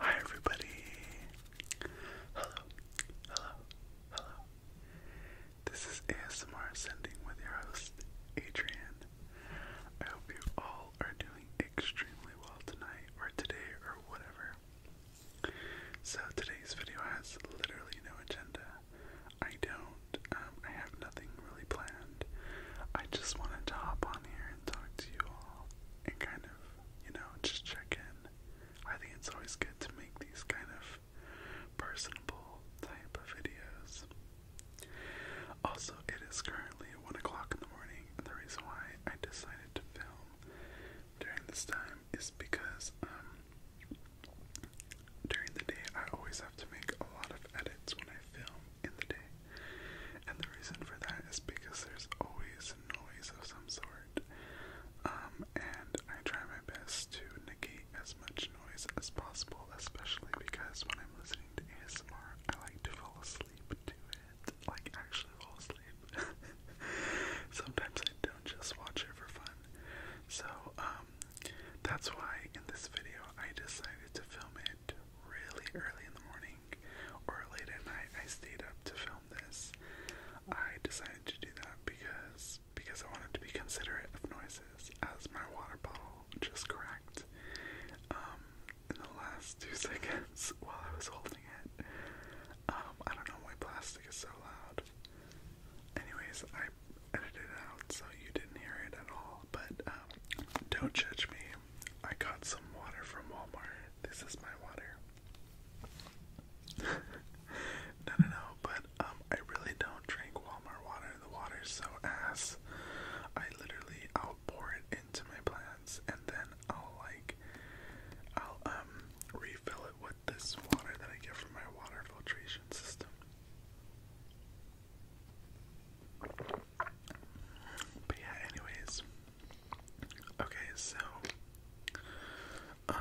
Hi everybody. Hello. Hello. Hello. This is ASMR Sending with your host, Adrian. I hope you all are doing extremely well tonight or today or whatever. So today's video has literally no agenda. I don't um, I have nothing really planned. I just wanted to hop on here and talk to you all and kind of, you know, just check in. I think it's always good to make these kind of personable type of videos. Also, it is currently 1 o'clock in the morning, the reason why I decided to film during this time is because, um, during the day I always have to make a lot of edits when I film in the day. And the reason for that is because there's always noise of some sort. Um, and I try my best to negate as much noise as possible, especially because when I'm listening to ASMR, I like to fall asleep to it. Like, actually fall asleep. Sometimes I don't just watch it for fun. So, um, that's why in this video I decided to film it really early in the morning or late at night. I stayed up to film this. I decided to do that because because I wanted to be considerate of noises as my water bottle just cracked um, in the last two seconds while I was holding it. Um, I don't know why plastic is so loud. Anyways, I edited it out so you didn't hear it at all, but uh, don't judge me. I got some water from Walmart. This is my water. no, no, no. But um, I really don't drink Walmart water. The water's so ass. I literally i it into my plants and then I'll like I'll um refill it with this water that I get from my water filtration system. But yeah, anyways. Okay, so um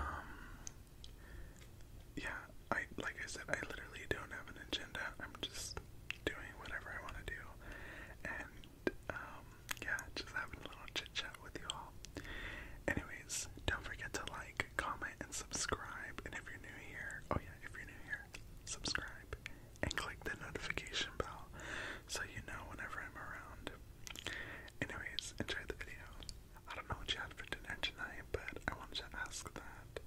yeah, I like I said, I literally don't have an agenda. I'm just doing whatever I want to do. And um yeah, just having a little chit chat with you all. Anyways, don't forget to like, comment, and subscribe. And if you're new here, oh yeah, if you're new here, subscribe and click the notification bell so you know whenever I'm around. Anyways, enjoy the video. I don't know what you had for dinner tonight, but I wanted to ask that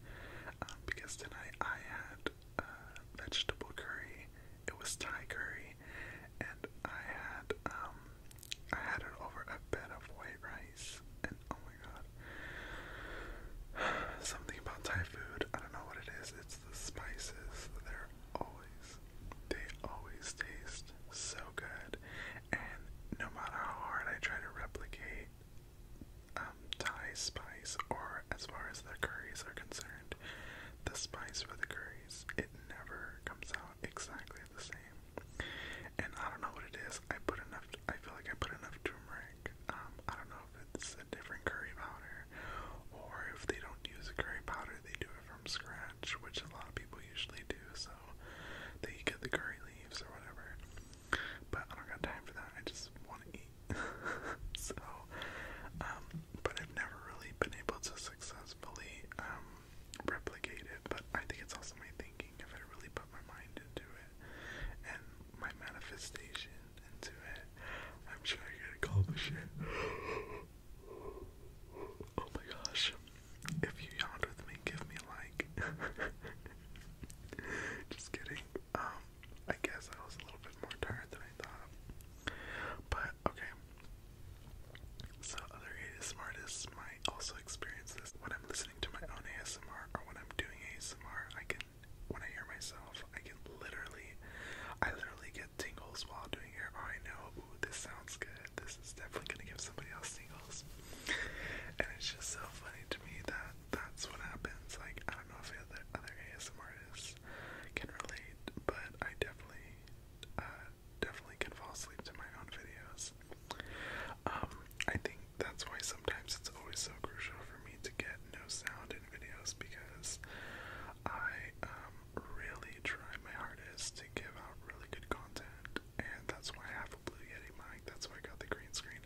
um, because tonight I had uh, vegetable curry. It was Thai curry, and I had um I had it over a bed of white rice, and oh Something about Thai food. I don't know what it is. It's the spices. They're always, they always taste so good. And no matter how hard I try to replicate um, Thai spice, or as far as the curries are concerned, the spice for the curries, it never comes out exactly the same. And I don't know what it is. I put enough. I feel like I put enough turmeric um, I don't know if it's a different curry powder or if they don't use a curry powder, they do it from scratch, which a lot of people usually do. So they get the curry leaves or whatever. But I don't got time for that. I just want to eat. so, um, but I've never really been able to successfully um, replicate it. But I think it's also my thinking if I really put my mind into it and my manifestation into it, I'm sure I can accomplish it. Oh my gosh. If you yawned with me, give me a like. Just kidding. Um, I guess I was a little bit more tired than I thought. But okay. So other ASMR might also experience this. When I'm listening to my own ASMR or when I'm doing ASMR, I can when I hear myself, I get literally, I literally get tingles while doing it. Oh, I know, this sounds good. This is definitely gonna give somebody else tingles. And it's just so funny to me that that's what happens. Like I don't know if other other ASM artists can relate, but I definitely, uh, definitely can fall asleep to my own videos. Um, I think that's why sometimes it's always so crucial for me to get no sound in videos because I um, really try my hardest to give out really good content, and that's why I have a Blue Yeti mic. That's why I got the green screen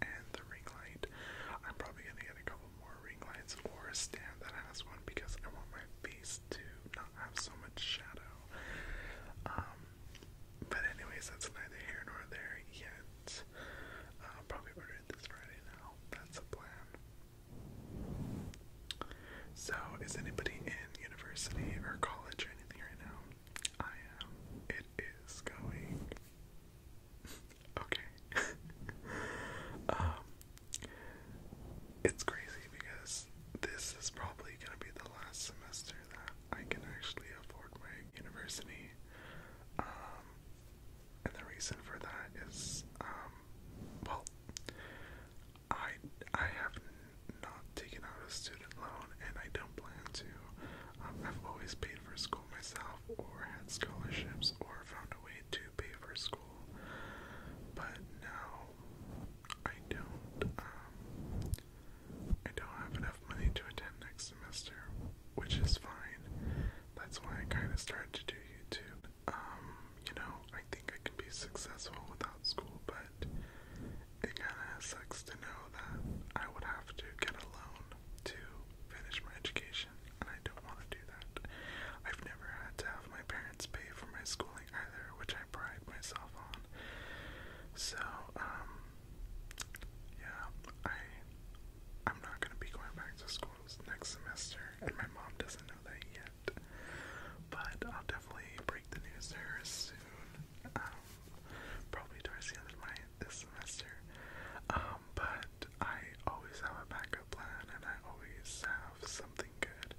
and the ring light. I'm probably gonna get a couple more ring lights or a stand that has one because I want my face to not have so much shadow. Um, but anyways, that's neither here nor there. yet. Uh, probably order this Friday now. That's the plan. So, is anybody in university or college or anything right now? I am. It is going. okay. um, it's crazy because this is probably going to be the last semester that I can actually afford my university. Um, and the reason for that is, um, well, I I have not taken out a student loan, and I don't plan to. Um, I've always paid for school myself, or had scholarships, or found a way to pay for school. But now, I don't. Um, I don't have enough money to attend next semester, which is fine. That's why I kind of started to do YouTube. Um, you know, I think I could be successful without school, but it kind of sucks to know that I would have to get a loan to finish my education, and I don't want to do that. I've never had to have my parents pay for my schooling either, which I pride myself on. So, um, yeah, I I'm not gonna be going back to school next semester, and my mom doesn't know that yet. But I'll definitely break the news to her soon. Um, probably towards the end of my this semester. Um, but I always have a backup plan, and I always have something good.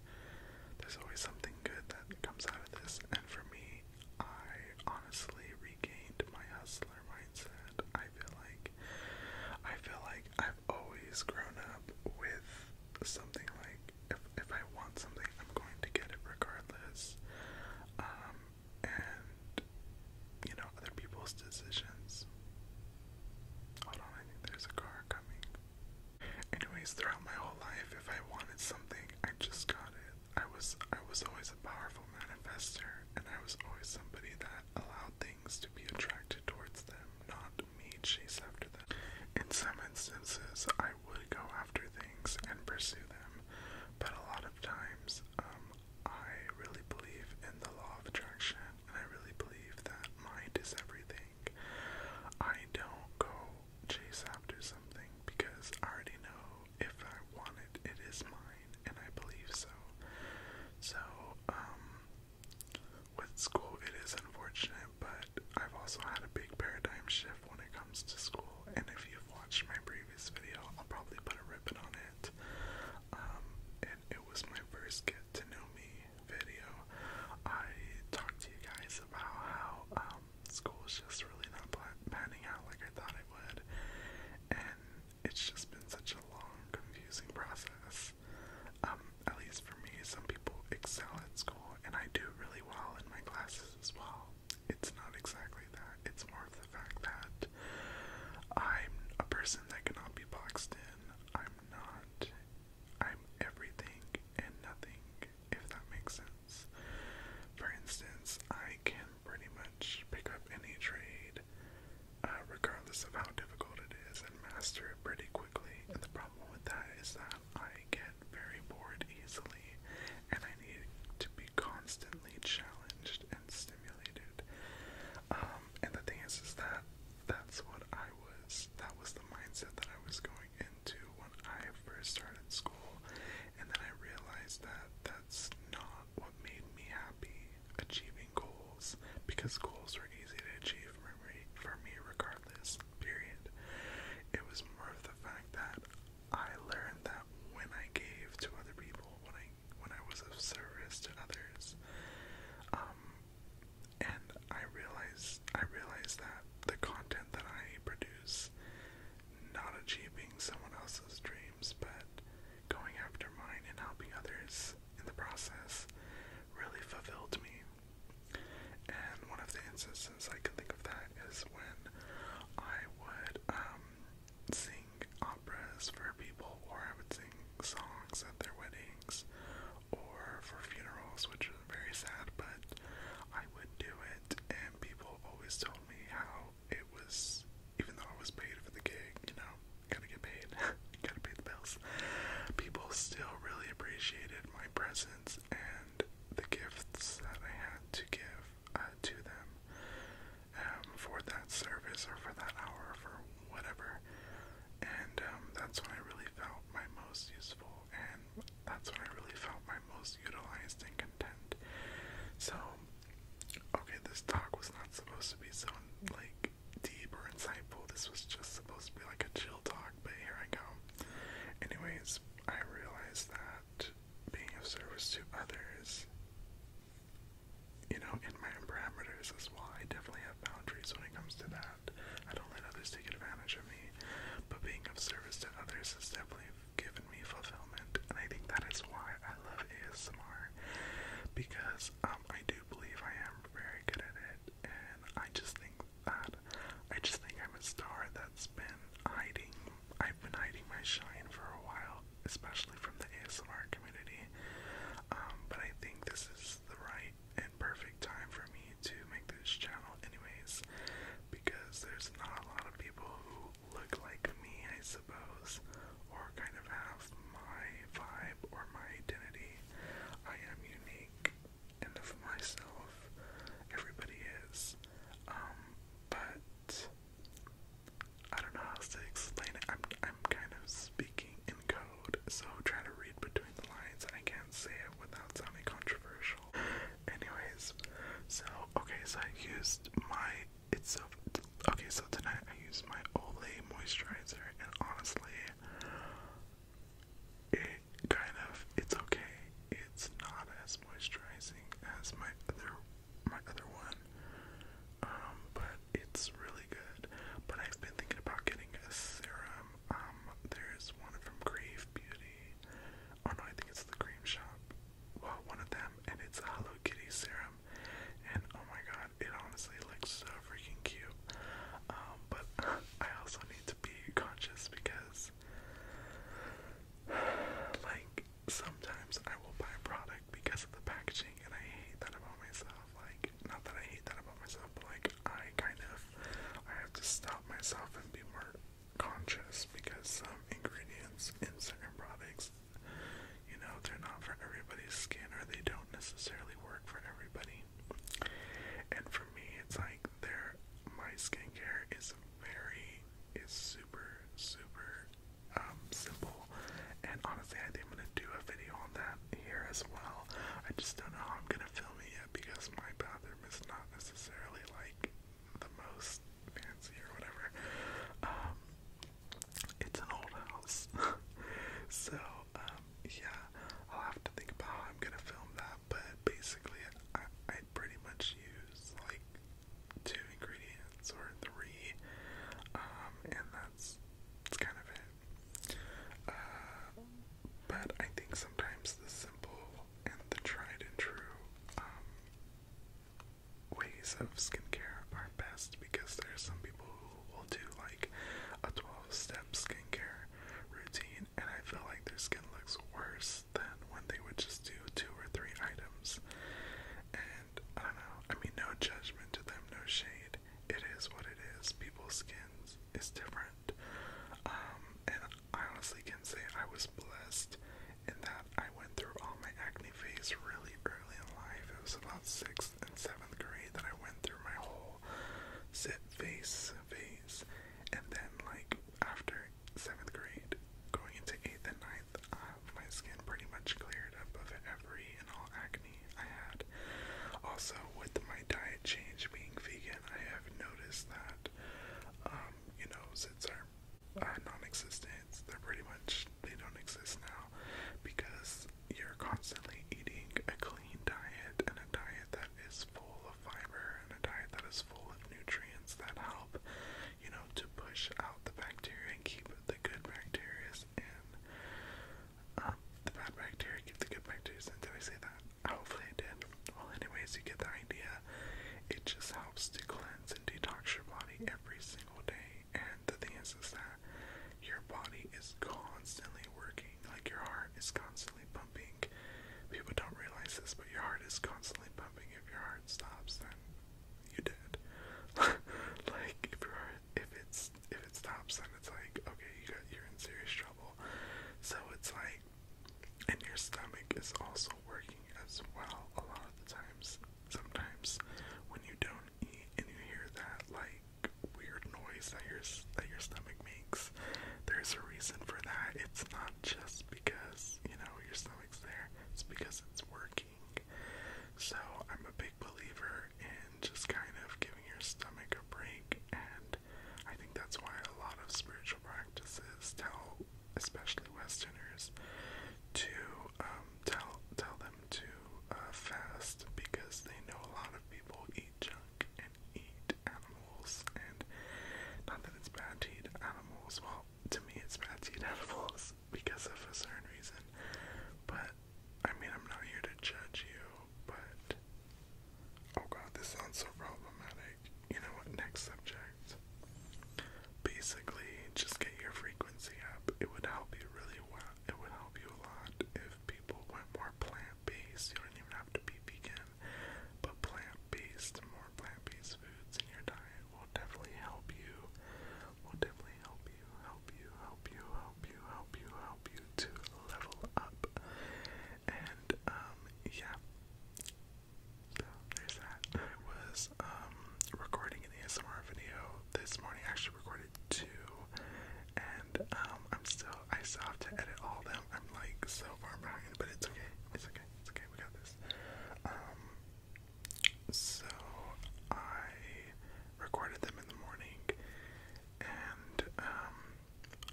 There's always something good that comes out of this, and for me, I honestly regained my hustler, my mindset. I feel like I feel like I've always grown up with something like if if I want something, I'm going to get it regardless. Um and you know, other people's decisions. Hold on, I think there's a car coming. Anyways, throughout my whole life, if I wanted something, I just got it. I was I was always a powerful manifester, and I was always somebody that allowed things to be attracted towards them, not me chase after them. In some instances, I would go after things and pursue them, but a lot of times, um, I really believe in the law of attraction, and I really believe that mind is everything. I don't go chase after something because I already know if I want it, it is mine, and I believe so. So, um, with school, it is unfortunate, but I've also had a big paradigm shift when it comes to school, and if you've watched my previous video, I'll probably put a ribbon on it. Um, and it was my first get to know me video. I talked to you guys about how, um, school is just really not planning out like I thought it would, and it's just been such a long, confusing process. Um, at least for me, some people excel at school, and I do really well in my classes as well. It's not exactly that, it's more of the fact that I'm a person that cannot be boxed in. I'm not, I'm everything and nothing, if that makes sense. For instance, I can pretty much pick up any trade, uh, regardless of how difficult it is, and master it pretty quickly. And the problem with that is that I get very bored easily, and I need to be constantly challenged and stimulated. Um, and the thing is, is that that's what I was. That was the mindset that I was going into when I first started school, and then I realized that that's not what what made me happy achieving goals because goals were easy to achieve for me, for me regardless, period. It was more of the fact that I learned that when I gave to other people, when I when I was of service to others, um, and I realized I realized that the content that I produce not achieving someone else's dreams, but going after mine and helping others in the process really fulfilled me. And one of the instances I can think of that is when I would um, sing operas for people, or I would sing songs at their weddings or for funerals, which is very sad, but I would do it, and people always told me how it was even though I was paid for the gig, you know, gotta get paid, gotta pay the bills. People still really appreciated my presence and the gifts that I had to give uh, to them um, for that service or for that hour for whatever. And um, that's when I really felt my most useful and that's when I really felt my most utilized and content. So okay, this talk was not supposed to be so like deep or insightful. This was just supposed to be like a chill talk, but here I go. Anyways, I realized that being of service to others, you know, in my parameters as well, I definitely have boundaries when it comes to that. I don't let others take advantage of me, but being of service to others is definitely given me fulfillment, and I think that is why I love ASMR because um, I do believe I am very good at it, and I just think that I just think I'm a star that's been hiding. I've been hiding my shine for a while, especially from the ASMR community. Um, but I think this is the right and perfect time for me to make this channel, anyways, because there's not a lot of people who look like me, I suppose, or kind of have my vibe or my identity. I am unique and myself. Everybody is. Um, but I don't know how to explain it. I'm I'm kind of speaking in code, so try to read between the lines. I can't say it without sounding controversial. Anyways, so okay, so I used my it's Okay, so tonight I used my Olay moisturizer, and honestly, it kind of it's okay. It's not as moisturizing as my other my other one, um, but it's really good. But I've been thinking about getting a serum. Um, there's one from Crave Beauty. Oh no, I think it's the Cream Shop. Well, one of them, and it's a Hello Kitty serum and oh my god, it honestly looks so freaking cute. Um, but I also need to be conscious because, like, sometimes I will buy product because of the packaging, and I hate that about myself. Like, not that I hate that about myself, but like, I kind of I have to stop myself and be more conscious because some ingredients in certain products you know, they're not for everybody's skin or they don't necessarily work for everybody. And for me, it's like they my skincare is very is super super um, simple and honestly I think I'm gonna do a video on that here as well. I just don't know how I'm gonna film it yet because my bathroom is not necessarily like the most fancy or whatever. Um, it's an old house. so, um, yeah, I'll have to think about how I'm gonna film that, but basically, I, pretty much use like two ingredients or three, um, and that's, that's kind of it. Uh, but I think sometimes the simple and the tried and true, um, ways of skincare are best because there are some people who will do like a 12 step skincare routine, and I feel like their skin looks worse than when they would just do two or three items. And I don't know, I mean, no judgment to them, no shade. It is what it is. People's skins is different. Um, and I honestly can say I was blessed in that I went through all my acne phase really early in life. It was about sixth and seventh grade that I went through my whole sit face phase, and then like after seventh grade, going into eighth and ninth, uh, my skin pretty much cleared up of every and all acne I had. Also, with my diet change being vegan, I have noticed that, um, you know, since are non-existence. They're pretty much they don't exist now because you're constantly eating a clean diet and a diet that is full of fiber and a diet that is full of nutrients that help, you know, to push out the bacteria and keep the good bacteria And Um, the bad bacteria keep the good bacteria in. Did I say that? Hopefully I did. Well, anyways, you get the idea. It just helps to cleanse and detox your body every single day. And the thing is, is that your body is constantly working, like your heart is constantly pumping. People don't realize this, but your heart is constantly pumping. If your heart stops, then you are dead. like if your if it's if it stops, then it's like okay, you got you're in serious trouble. So it's like, and your stomach is also working as well a lot of the times. Sometimes when you don't eat and you hear that like weird noise that your that your stomach makes, there's a reason for that. It's not just because, you know, your stomach's there. It's because it's working. So, I'm a big believer in just kind of giving your stomach a break and I think that's why a lot of spiritual practices tell especially Westerners, to um, tell tell them to uh, fast because they know a lot of people eat junk and eat animals, and not that it's bad to eat animals. Well, to me, it's bad to eat animals because of a certain reason, but. I mean, I'm not here to judge you, but. Oh god, this sounds so problematic. You know what? Next subject patterns. Basically, just get your frequency up. It would help you really well. It would help you a lot if people went more plant-based. You don't even have to be vegan, but plant-based, more plant-based foods in your diet will definitely help you. Will definitely help you, help you, help you, help you, help you, help you to level up. And um, yeah. So there's that. I was um, recording an ASMR video this morning. I actually recorded two, and um, I'm still. I still have to edit all them. I'm like so far behind, but it's okay. It's okay. It's okay. We got this. Um, so I recorded them in the morning, and um,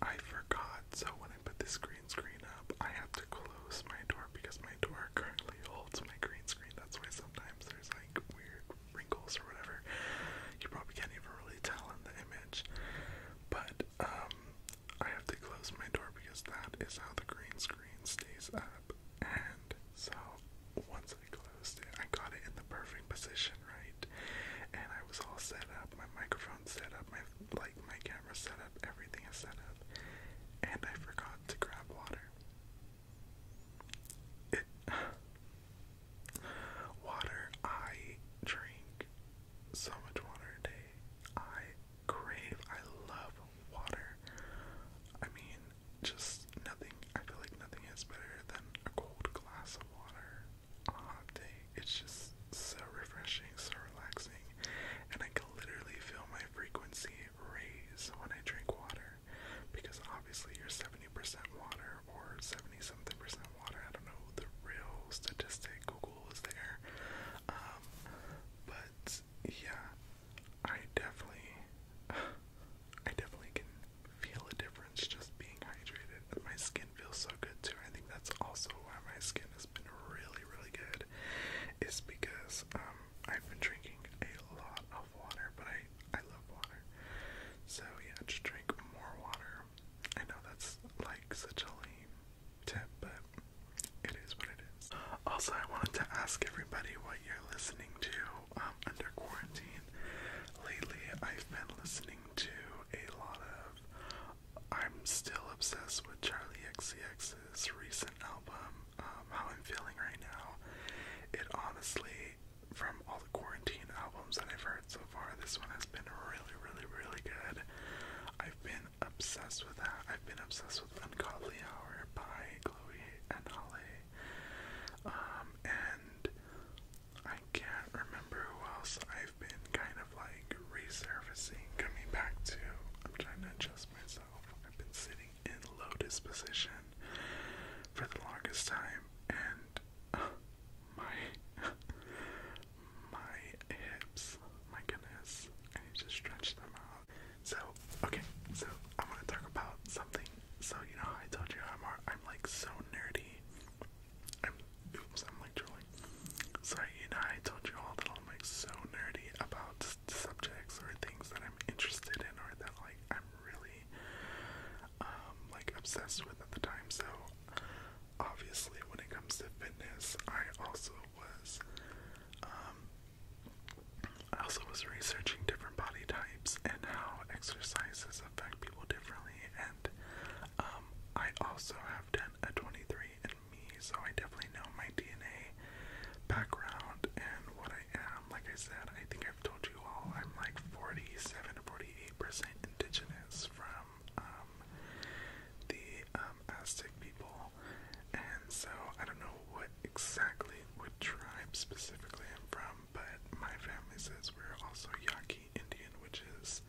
I forgot. So when I put this green screen up, I have to close close my door because my door currently holds my green screen. That's why sometimes there's like weird wrinkles or whatever. You probably can't even really tell in the image. But um I have to close my door because that is how the green screen stays up. And so once I closed it, I got it in the perfect position, right? And I was all set up, my microphone set up, my like my camera set up, everything is set up. And I forgot to grab water. water, I drink so much water a day. I crave, I love water. I mean, just nothing, I feel like nothing is better than a cold glass of water on a hot day. It's just so refreshing, so relaxing, and I can literally feel my frequency raise when I drink water because obviously you're 70% water or 70 something percent water. I don't know the real statistic, Google was there. Um, but yeah, I definitely, I definitely can feel a difference just being hydrated. My skin feels so good too. I think that's also why my skin has been really, really good is because um, I've been drinking a lot of water, but I, I love water. So yeah, just drink more water. I know that's like such a lame tip, but it is what it is. Also, I wanted to ask everybody what you're listening to um, under quarantine. Lately, I've been listening to a lot of. I'm still obsessed with Charlie XCX's recent album, um, how I'm feeling right now. It honestly, from all the quarantine albums that I've heard so far, this one has been really, really, really good. I've been obsessed with that. I've been obsessed with Ungodly Hour by Chloe and Holly. Um, and I can't remember who else I've been kind of like resurfacing, coming back to. I'm trying to adjust myself. I've been sitting in lotus position for the longest time, and uh, my my hips, my goodness, I need to stretch them out. So okay, so I want to talk about something. So you know, I told you I'm I'm like so nerdy. I'm oops, I'm like drooling. So you know, I told you all that I'm like so nerdy about subjects or things that I'm interested in or that like I'm really um, like obsessed with at the time. So obviously when it comes to fitness, I also was um, I also was researching different body types and how exercises affect people differently and um, I also have done a 23 and me so I definitely know my DNA background and what I am, um, like I said, I think I've told you all, I'm like 47 to 48% indigenous from um, the um, Aztec people. And so I don't know what exactly, what tribe specifically I'm from, but my family says we're also Yaqui Indian, which is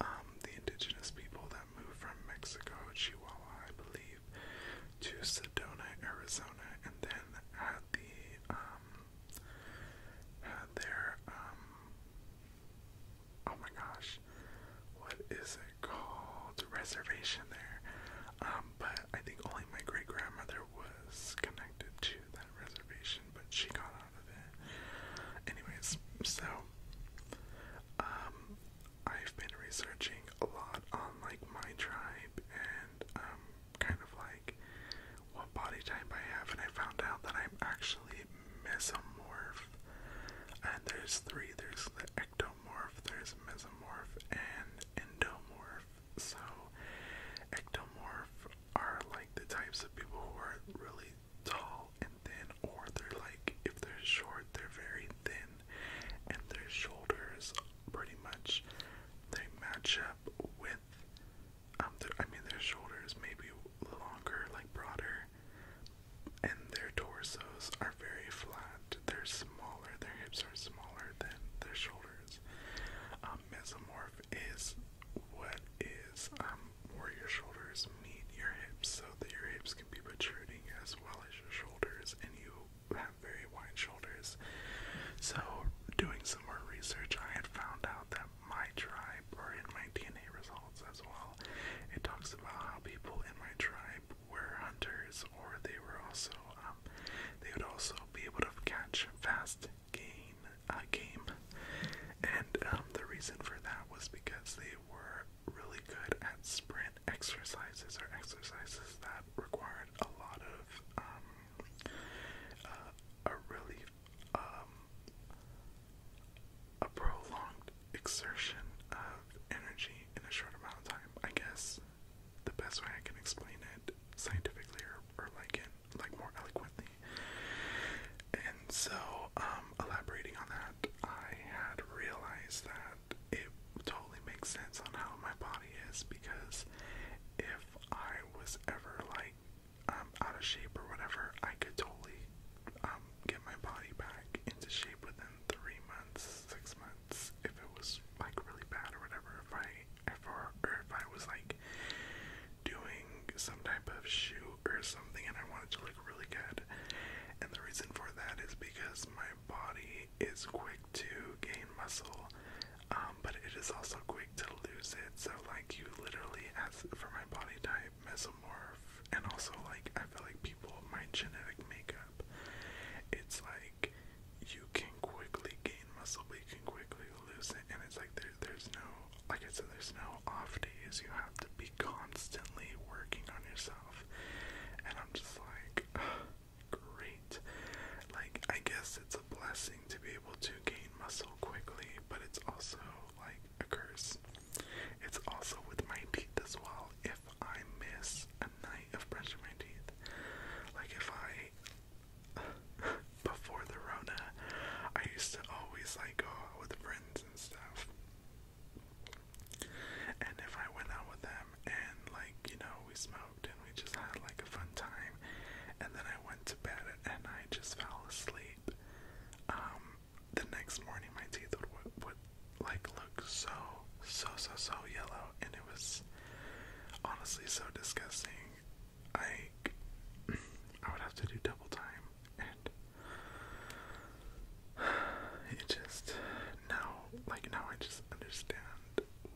um, the indigenous people that moved from Mexico, Chihuahua, I believe to Sedona, Arizona, and then had the um had their um oh my gosh, what is it called? Reservation there. Um, but I think only my great grandmother was connected to that reservation, but she got out of it. Anyways, so um I've been researching a lot on like my tribe and um kind of like what body type I have and I found out that I'm actually mesomorph. And there's three, there's the ectomorph, there's mesomorph and endomorph. So ectomorph are like the types of people who are really tall and thin or they're like if they're short, they're very thin and their shoulders pretty much they match up with um, I mean their shoulders maybe longer like broader and their torsos are very flat they're smaller their hips are smaller than their shoulders um, mesomorph is what is um where your shoulders meet your hips so that your hips can be protruding as well as your shoulders and you have very wide shoulders. So, doing some more research, I had found out that my tribe, were in my DNA results as well, it talks about how people in my tribe were hunters, or they were also, um, they would also be able to catch fast game, uh, And um, the reason for that was because they were really good at sprinting exercises are exercises that require a lot of um, uh, a really um, a prolonged exertion of energy in a short amount of time. I guess the best way I can explain it scientifically or, or like in like more eloquently. And so, um, elaborating on that, I had realized that it totally makes sense on how my body is because if I was ever like um, out of shape or whatever, I could totally um, get my body back into shape within three months, six months, if it was like really bad or whatever. If I if or if I was like doing some type of shoot or something and I wanted to look really good, and the reason for that is because my body is quick to gain muscle, um, but it is also quick to lose it. So like you literally, as for my body type, mesomorph, and also like I feel like people my genetic makeup, it's like you can quickly gain muscle, but you can quickly lose it, and it's like there, there's no like I said, there's no off days. You have to be constantly working on yourself, and I'm just like. great. Like, I guess it's a blessing to be able to gain muscle quickly, but it's also like a curse. It's also with my teeth as well. If I miss a night of brushing my teeth, like if I, before the Rona, I used to always like go out with friends and stuff. And if I went out with them and, like, you know, we smoked and we just had, like, a fun time, and then I went to bed and I just fell asleep, um, the next morning my teeth would, would, would like, look so, so, so, so yellow, and it was honestly so disgusting. I, I would have to do double time, and it just, no, like now I just understand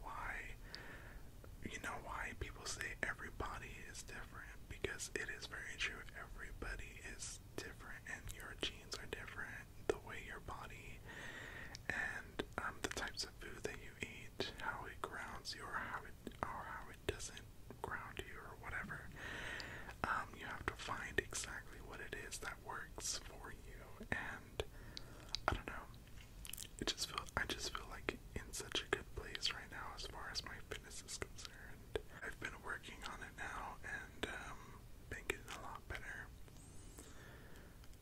why you know why people say everybody is different because it is very true everybody is different and your genes are different the way your body and um, the types of food that you eat how it grounds you or how it or how it doesn't ground you or whatever um, you have to find exactly what it is that works for you and I don't know. It just feel I just feel like in such a good place right now as far as my fitness is concerned. I've been working on it now and um been getting a lot better.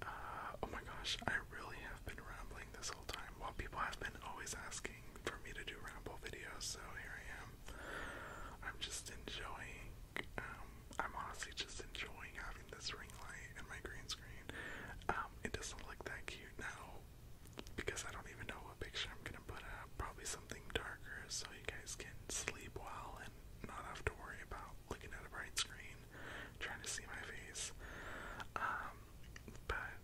Uh, oh my gosh, I really have been rambling this whole time. While people have been always asking for me to do ramble videos, so here I am. I'm just enjoying um, I'm honestly just enjoying having this ring light and my green screen. Um, it doesn't look that cute now because I don't even know what picture I'm gonna put up. Probably something darker so you guys can sleep well and not have to worry about looking at a bright screen, trying to see my face. Um, but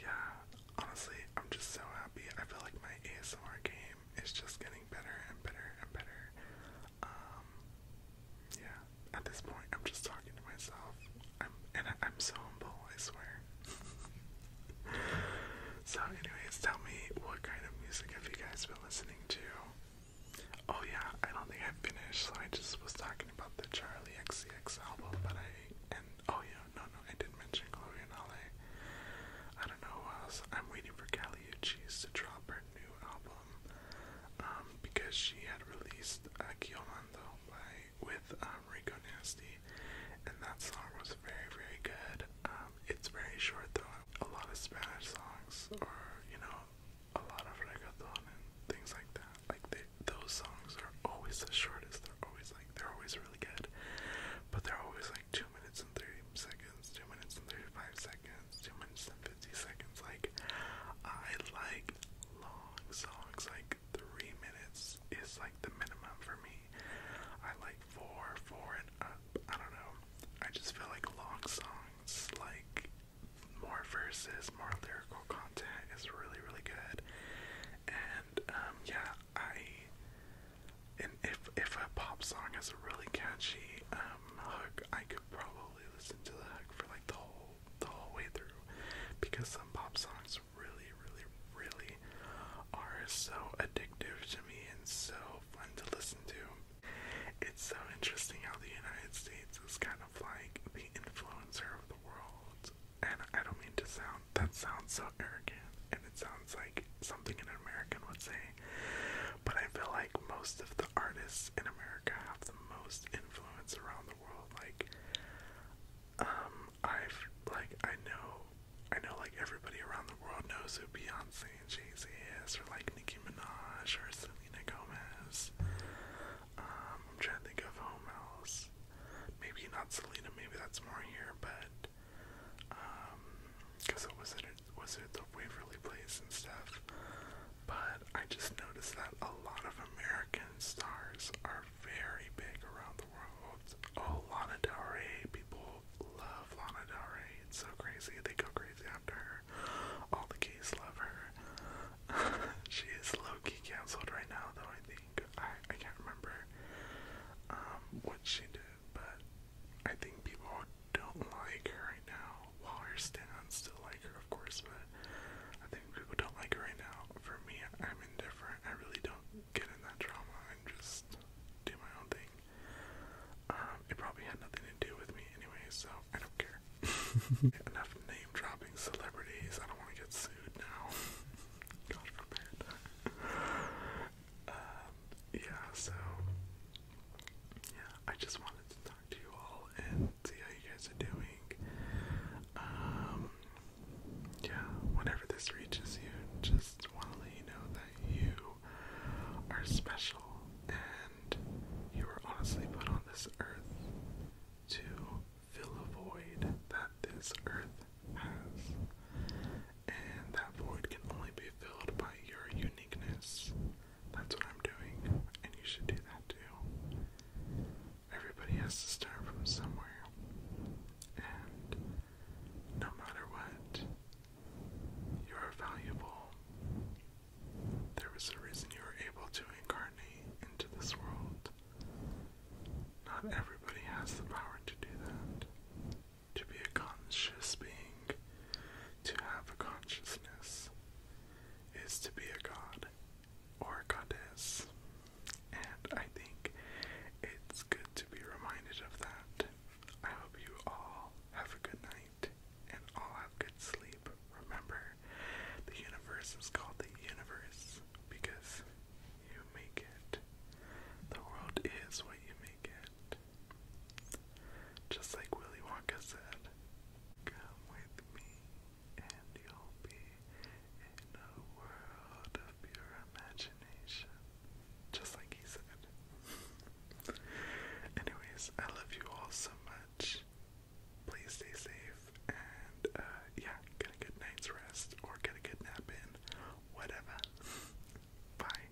yeah, honestly, I'm just so happy. I feel like my ASMR game it's just getting better and better and better. Um, yeah, at this point, I'm just talking to myself. I'm and I, am so humble, I swear. so, anyways, tell me what kind of music have you guys been listening to? Oh yeah, I don't think I finished, so I just was talking about the Charlie XCX album, but I and oh yeah, no no, I did not mention Chloe and Ale. I don't know else. I'm waiting for Kelly Cheese to drop her new album um, because she had released Aquí uh, Hablando with um, Rico Nasty, and that song was very very good. Um, it's very short though. A lot of Spanish songs, or you know, a lot of reggaeton and things like that. Like those songs are always the shortest. They're always like they're always really good, but they're always like two 2 minutes and 30 seconds, 2 minutes and 35 seconds, 2 minutes and 50 seconds. Like, I like long songs. Like, 3 minutes is like the minimum for me. I like 4, 4 and up. I don't know. I just feel like long songs, like more verses, more lyrical content is really, really good. And, um, yeah, I. And if if a pop song is really catchy, um, Hook, I could probably listen to the Hook for like the whole the whole way through, because some pop songs really, really, really are so addictive to me and so fun to listen to. It's so interesting how the United States is kind of like the influencer of the world, and I don't mean to sound that sounds so arrogant, and it sounds like something an American would say, but I feel like most of the artists in America have the most influence around the world. Like, um, I've like I know, I know like everybody around the world knows who Beyonce and Jay Z is, or like Nicki Minaj or Selena Gomez. Um, I'm trying to think of whom else. Maybe not Selena. Maybe that's more here, but because um, it was in was it the Waverly Place and stuff, but I just noticed that a lot of American stars are very big around the world. Oh, Lana Del Rey, people love Lana Del Rey. It's so crazy. They go crazy after her. All the gays love her. she is low-key canceled right now, though, I think. I, I can't remember um, what she did, but I think people don't like her right now. While well, her stands still like her, of course, but I think people don't like her right now. For me, I'm indifferent. I really don't get in that drama I just do my own thing. Um, it probably had nothing to do with me anyway, so I don't care. Enough name dropping celebrities. I don't want to get sued now. God forbid. um, yeah, so yeah, I just wanted to talk to you all and see how you guys are doing. Um, yeah, whenever this reaches you, just want to let you know that you are special and you were honestly put on this earth to fill a void that this earth has. And that void can only be filled by your uniqueness, that's what I'm doing, and you should do that too. Everybody has to start from somewhere, and no matter what, you are valuable. There was a reason you were able to incarnate into this world. Not everybody has the power to do that to be a conscious being, to have a consciousness, is to be a god or a goddess. And I think it's good to be reminded of that. I hope you all have a good night and all have good sleep. Remember, the universe is called the universe because you make it. The world is what you make it. Just like Willy Wonka said, come with me and you'll be in a world of pure imagination. Just like he said. Anyways, I love you all so much. Please stay safe and uh, yeah, get a good night's rest or get a good nap in. Whatever. Bye.